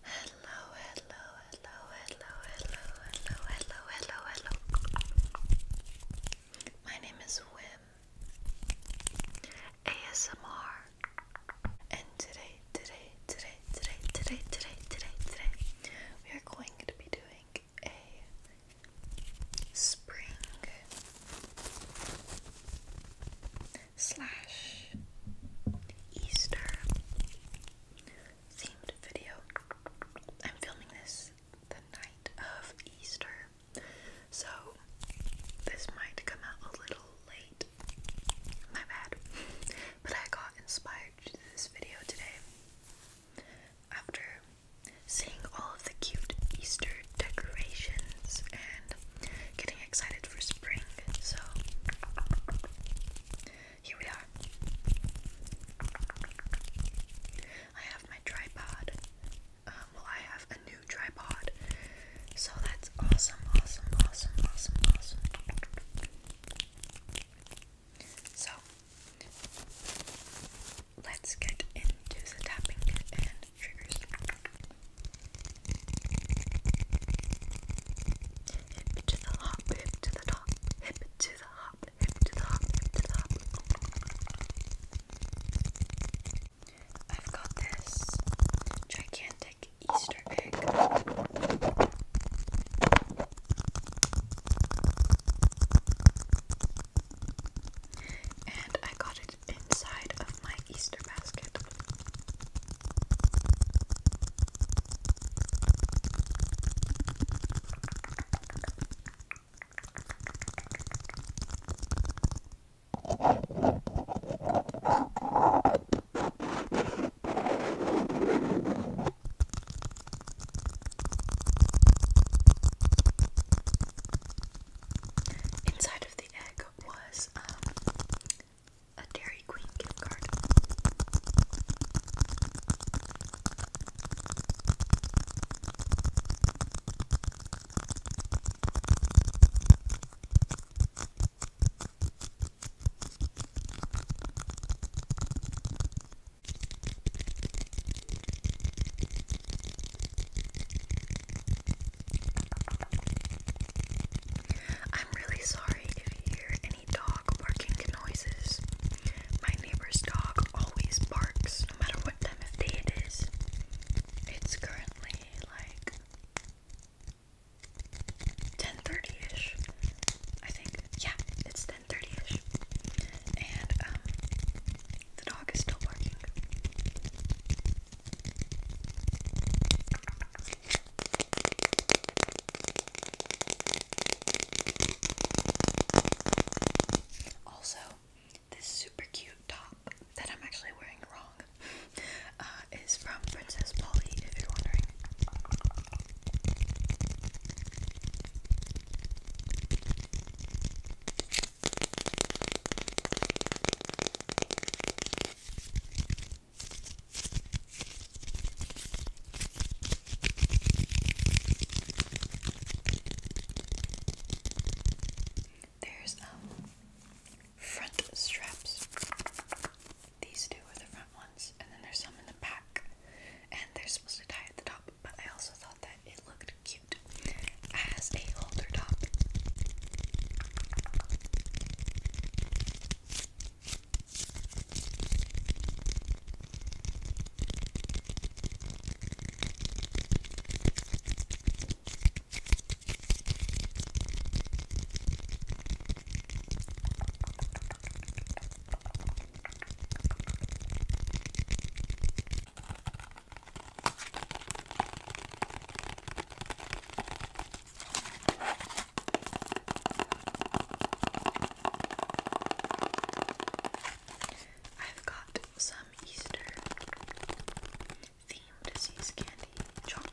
Hello, hello, hello, hello, hello, hello, hello, hello, hello. My name is Wim ASMR, and today, today, today, today, today, today, today, today, we are going to be doing a spring slash Easter themed video. I'm filming this the night of Easter, so this might come out a little late. My bad. But I got inspired to this video today after seeing all of the cute Easter decorations and getting getting excited for spring, so here we are. I have my tripod. Um, well, I have a new tripod, so that's awesome, awesome, awesome, awesome, awesome. So, let's get into the tapping and triggers. Hip to the hop, hip to the top, hip to the hop, hip to the hop, to the hop. I've got this gigantic Easter egg. And I got it inside of my Easter basket. Inside of the egg was um, a Dairy Queen gift card. I'm really sorry if you hear any dog barking noises. My neighbor's dog always barks no matter what time of day it is. It's currently like 10:30ish. I think. Yeah, it's 10:30ish. And um the dog is still barking. Also, this super cute top that I'm actually wearing wrong uh, is from Princess Polly, if you're wondering. There's um front straps. These two are the front ones, and then there's some in the back, and they're supposed to tie at the top. But I also thought that it looked cute as a holder top. I've got some Easter themed seas candy chocolates.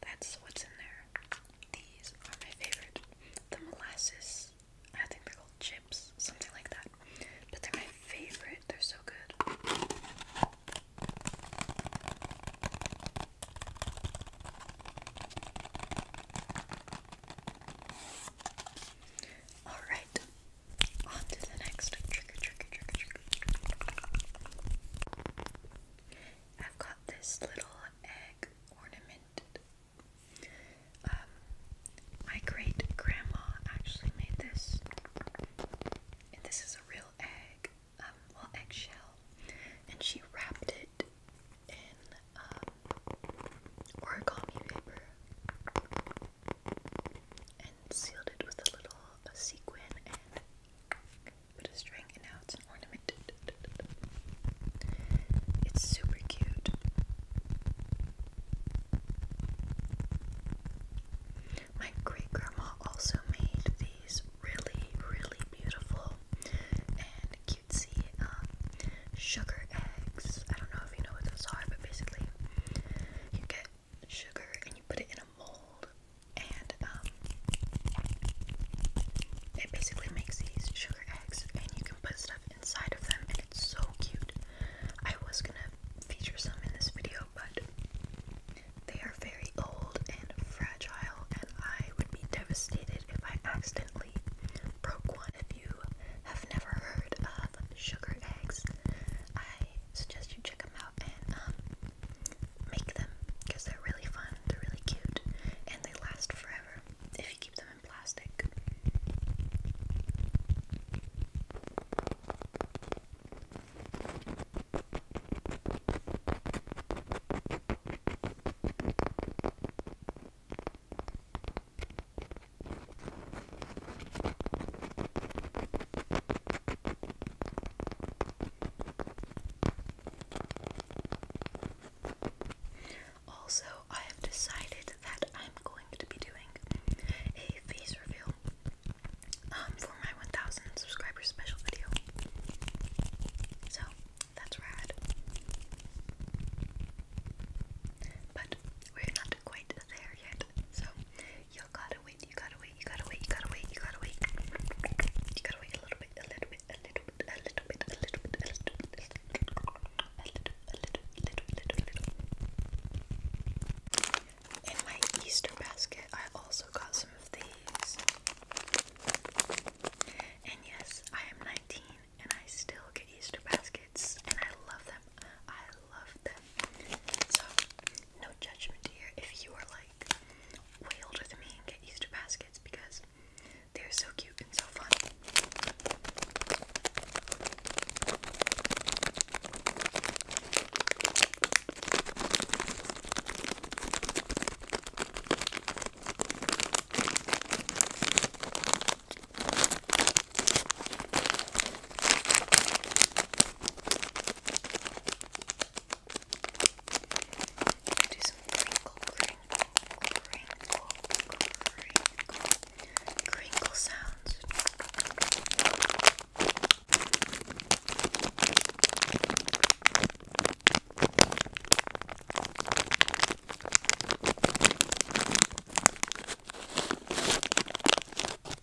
That's what's in there. These are my favorite. The molasses, I think they're called chips, something like that. But they're my favorite. They're so good. Alright, on to the next trigger, trigger, trigger, trigger. I've got this little egg ornamented. Um, my great grandma actually made this, and this is a real egg, um, well, eggshell, and she wrapped it in um, origami paper and sealed it with a little sequin and Put a string and now it's an super cute. My great grandma also made these really, really beautiful and cutesy um, sugar eggs. I don't know if you know what those are, but basically, you get sugar and you put it in a mold and um, it basically makes these sugar eggs, and you can put stuff inside of them, and it's so cute. I was gonna feature some in this video, but they are very old and fragile, and I would be devastated if I accidentally broke one. If you have never heard of sugar eggs, I suggest you check them out and um, make them they're really fun, they're really cute, and they last forever if you keep them in plastic. Also, I have decided that I'm going to be doing a face reveal um, for my 1000 subscribers special video. So, that's rad. But we're not quite there yet, so you'll gotta in my Easter basket, I also got some of these. And yes, I am 19 and I still get Easter baskets and I love them. I love them. So, no judgment here if you are like Way older than me and get Easter baskets because they're so cute and so fun. Do some crinkle, crinkle, crinkle, crinkle, crinkle sounds.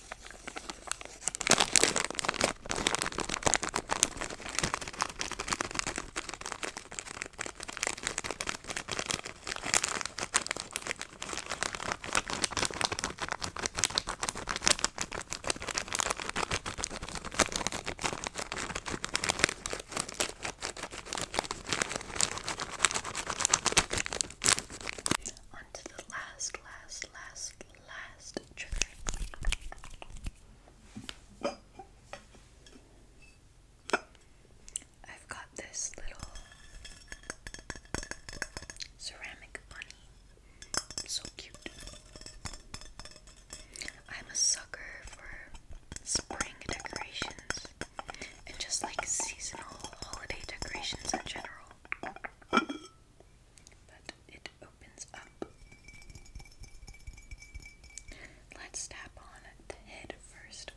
On to the last, last, last, last trigger. I've got this little ceramic bunny. So cute. I'm a sucker for spring decorations and just like seasonal holiday decorations in general but it opens up. Let's tap on the head first.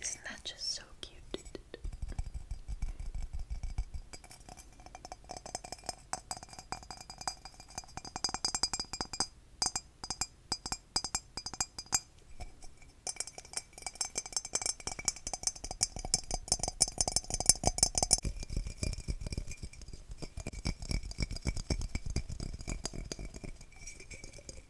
Isn't that just so cute?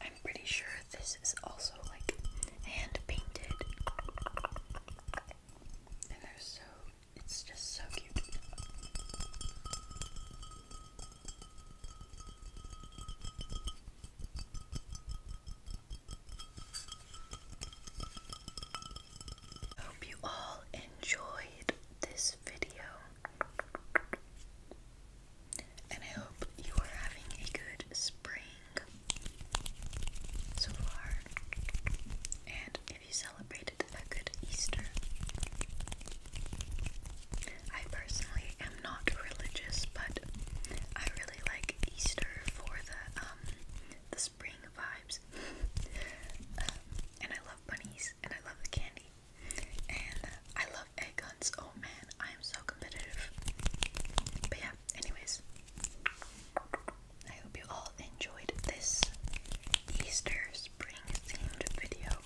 I'm pretty sure this is also like hand painted. And they're so, it's just so cute. Hope you all enjoyed this video and I hope you are having a good spring so far. And if you celebrated a good Easter, I personally am not religious, but I really like Easter for the um the spring vibes. Um, and I love bunnies, and I love the candy. And I love egg hunts. Oh man, I am so competitive. But yeah, anyways, I hope you all enjoyed this Easter spring themed video.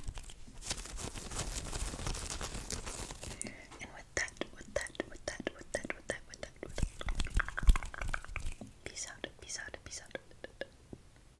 And with that, with that, with that, with that, with that, with that, with that, peace out, peace out, peace out.